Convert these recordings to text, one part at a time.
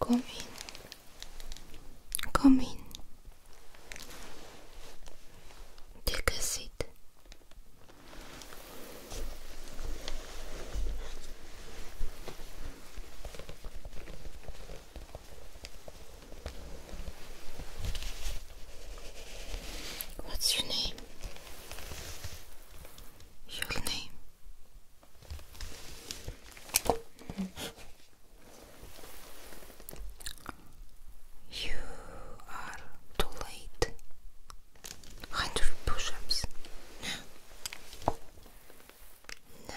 Come in. Come in. Take a seat. What's your name? Your name? You are too late. Hundred push No.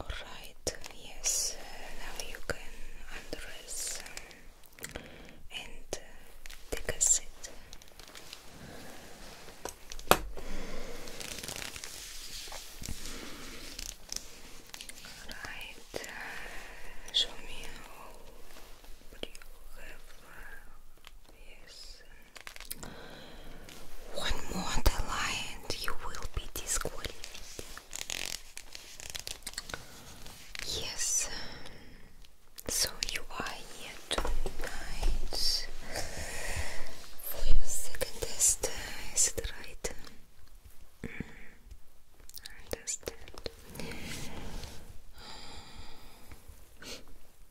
Alright, yes, uh, now you can undress um, and uh, take a seat. Alright, uh, show me how you have uh, Yes. One more delay and you will be disqualified. Yes. So you are here tonight for your second test, is it right? Mm.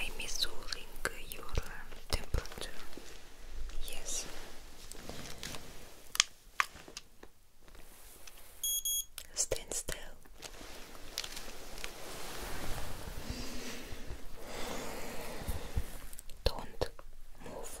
I, am measuring your temperature. Yes. Stand still. Don't move.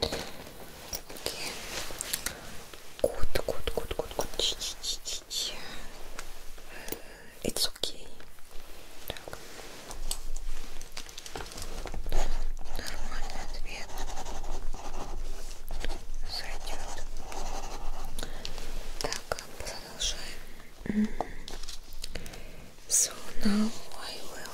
Такие. Good, good, good, good, good. It's okay. Так. Нормальный ответ. Зайдет. Так, продолжаем. So now I will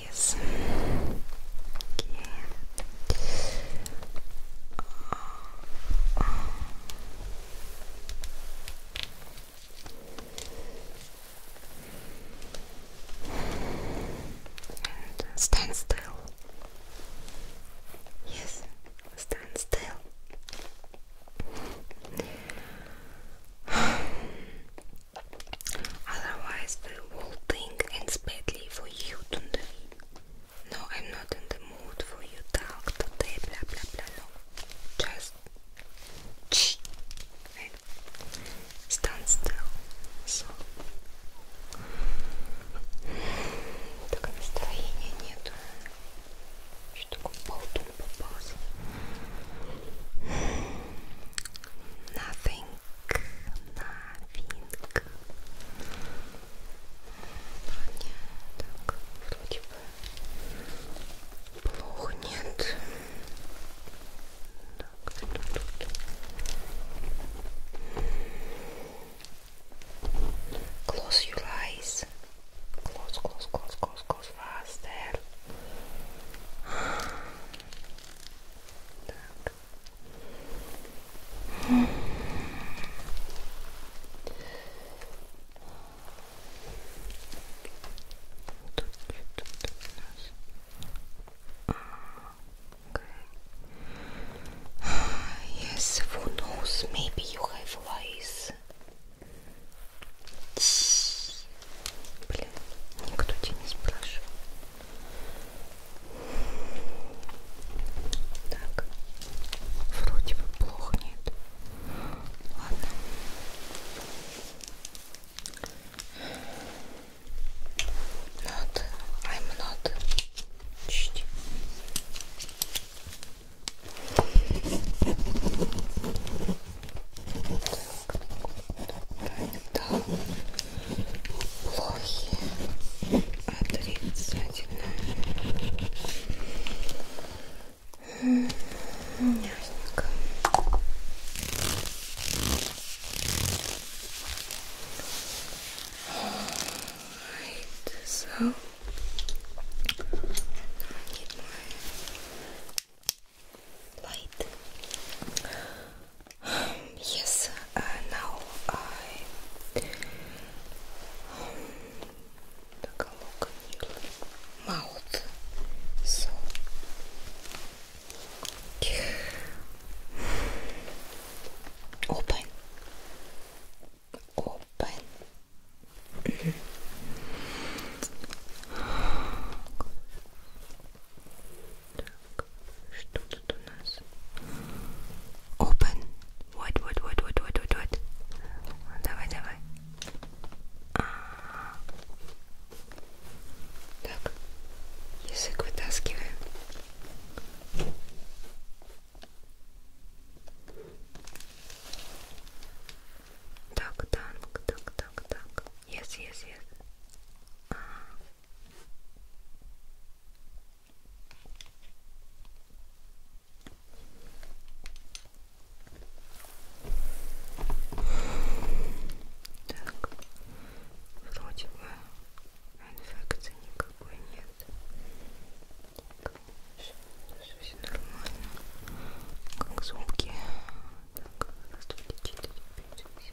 Yes. Okay. Uh, stand still. Yes, stand still. Otherwise, they will think and badly for you today. No, I'm not in the mood for you talk today, blah blah blah. just stand still. So, так настроения нету. Close your eyes. Close, close, close, close, close faster. Yes, who knows? Maybe you have lice. Блин, никто тебя не спрашивал. Так, вроде бы плохо нет. Ладно. Not, I'm not. Чти. Так тогда плохие отрицательные ясненько right, so I need my light. Um, yes, uh, now I um, mouth. So open, open. Так, что тут у нас? Open. Вот, вот, вот, вот, вот, вот, вот. Давай, давай. А -а -а. Так, язык вытаскиваем. Так, танк, так, так, так. Yes, yes, yes. А -а -а. Так, вроде бы инфекции никакой нет. Так, все, все, все нормально. Как зубки. Так, раз, два, три, четыре, пять, шесть.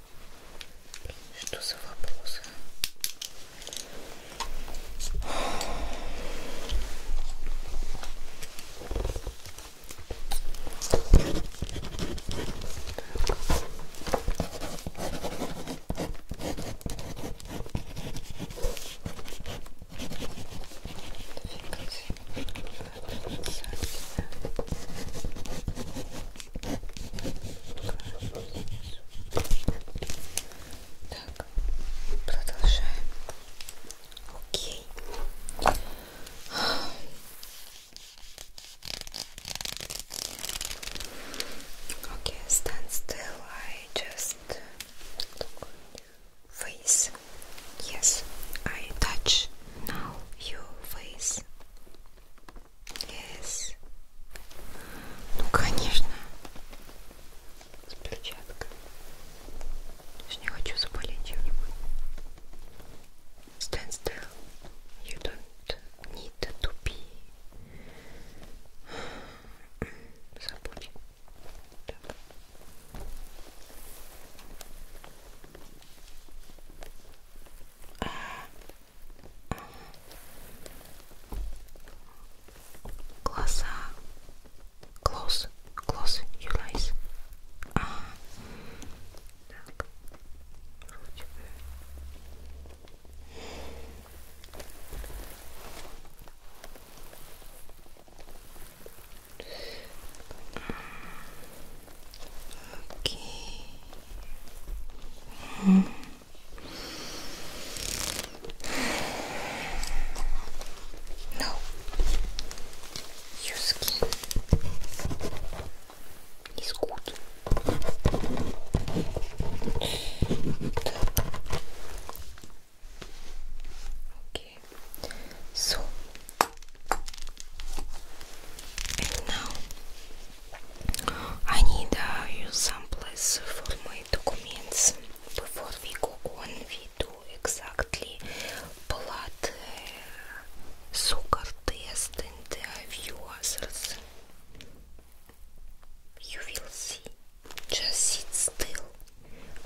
Что за вопросы? Двигать, двигать, двигать. Так, Okay, stand still. I just face. Yes, I touch now your face. Yes. Ну конечно. С перчаткой. Я же не хочу заболеть чем-нибудь. Stand still. You don't need to be. Забудь. Так. А, Глаза. Close. Close your eyes. Ah. Okay. -hmm. No, your skin is good. Okay, so and now I need uh, you someplace for my documents before we go on. We do exactly blood uh, sugar test and uh, few others. You will see. Just sit still.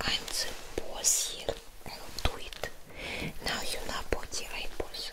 I'm the boss here. I'll do it. Now you know body I boss.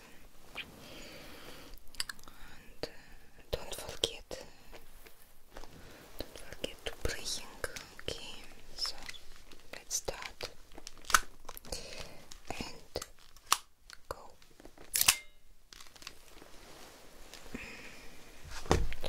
Uh, don't forget, don't forget to praying. Okay, so let's start and go. Mm.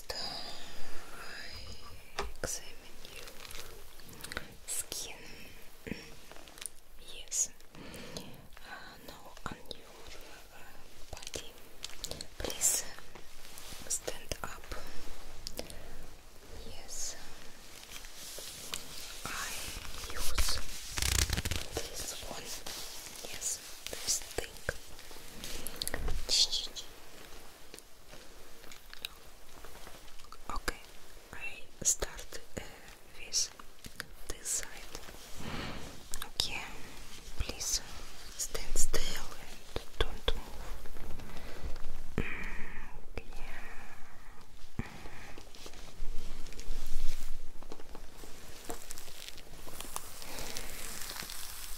I examine your skin. yes. now on your body. Please stand up. Yes. I use this one. Yes. Okay, I start uh, with this side. Okay, please stand still and don't move. Mm,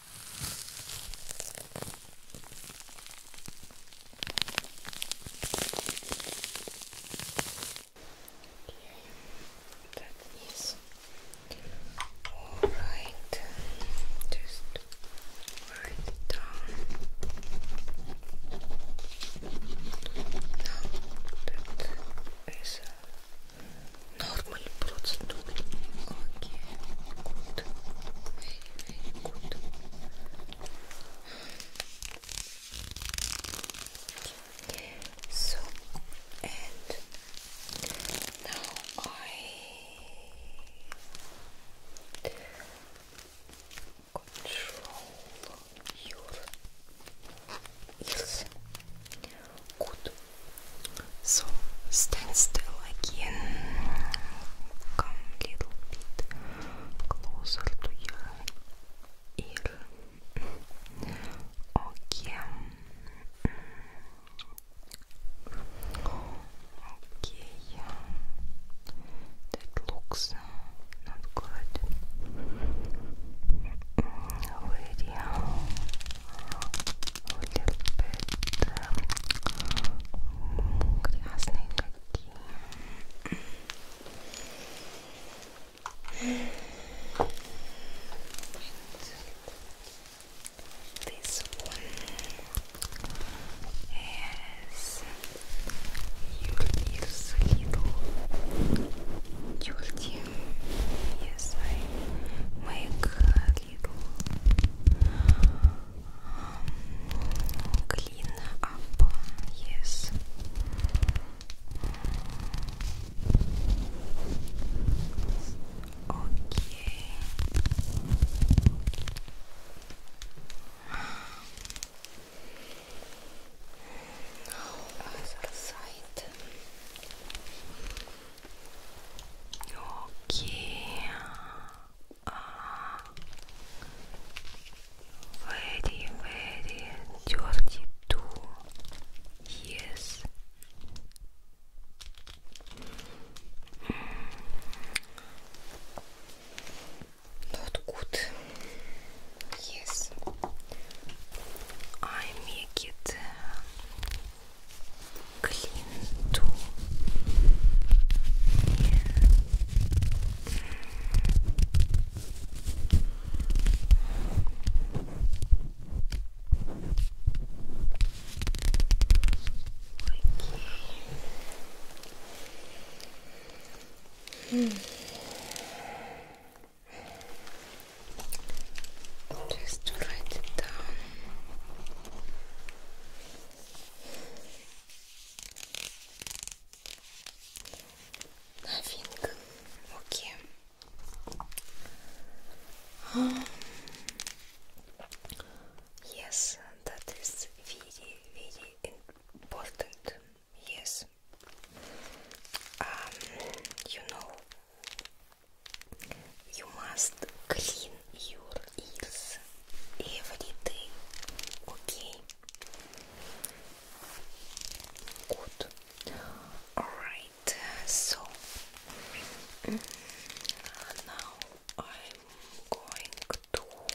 Okay, that is all right. Just write down. that is a normal procedure. Okay, very good. So, and now I control your ears. Good. So stand still again. Come a little bit closer to your ear. Okay. Okay. That looks not good. Very mm, little bit um, This one is Юльдис Лидл. Юльди. Yes, I make little Yes. Okay. Now other side. Okay very, very Georgie too. Yes. Mm. good. Yes. I make it clean tool hmm. write it down. Новинка um, yes, that is very, very important. Yes. Um, you know, you must clean your is everything okay? Good. Alright, so mm, now I'm going to control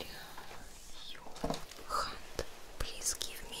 your hand. Please give me.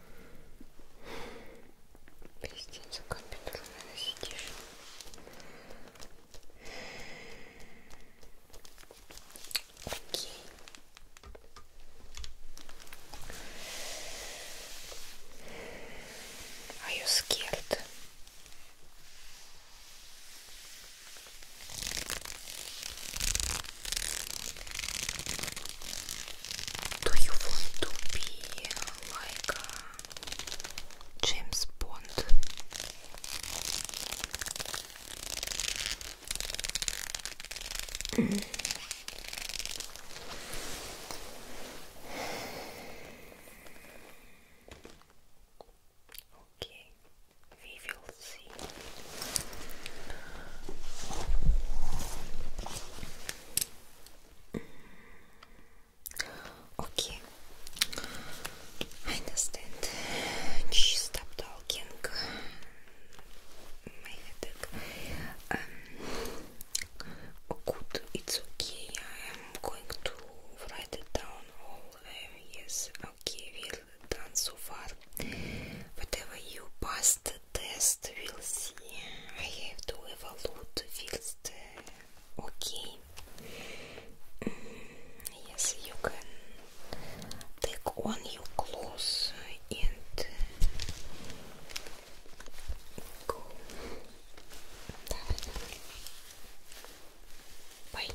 Простите, компьютер, наверное, сидишь. Окей. Are you scared? Do you want to be like uh, James Bond? Mm. Okay, we will see. Okay, I understand. She talking. My um, oh, it's okay. I'm going to write it down. All uh, yes, okay, we are done so far. Whatever you passed, test we'll see. I have to evaluate first. Okay. yes, you can take on your clothes and go. Bye.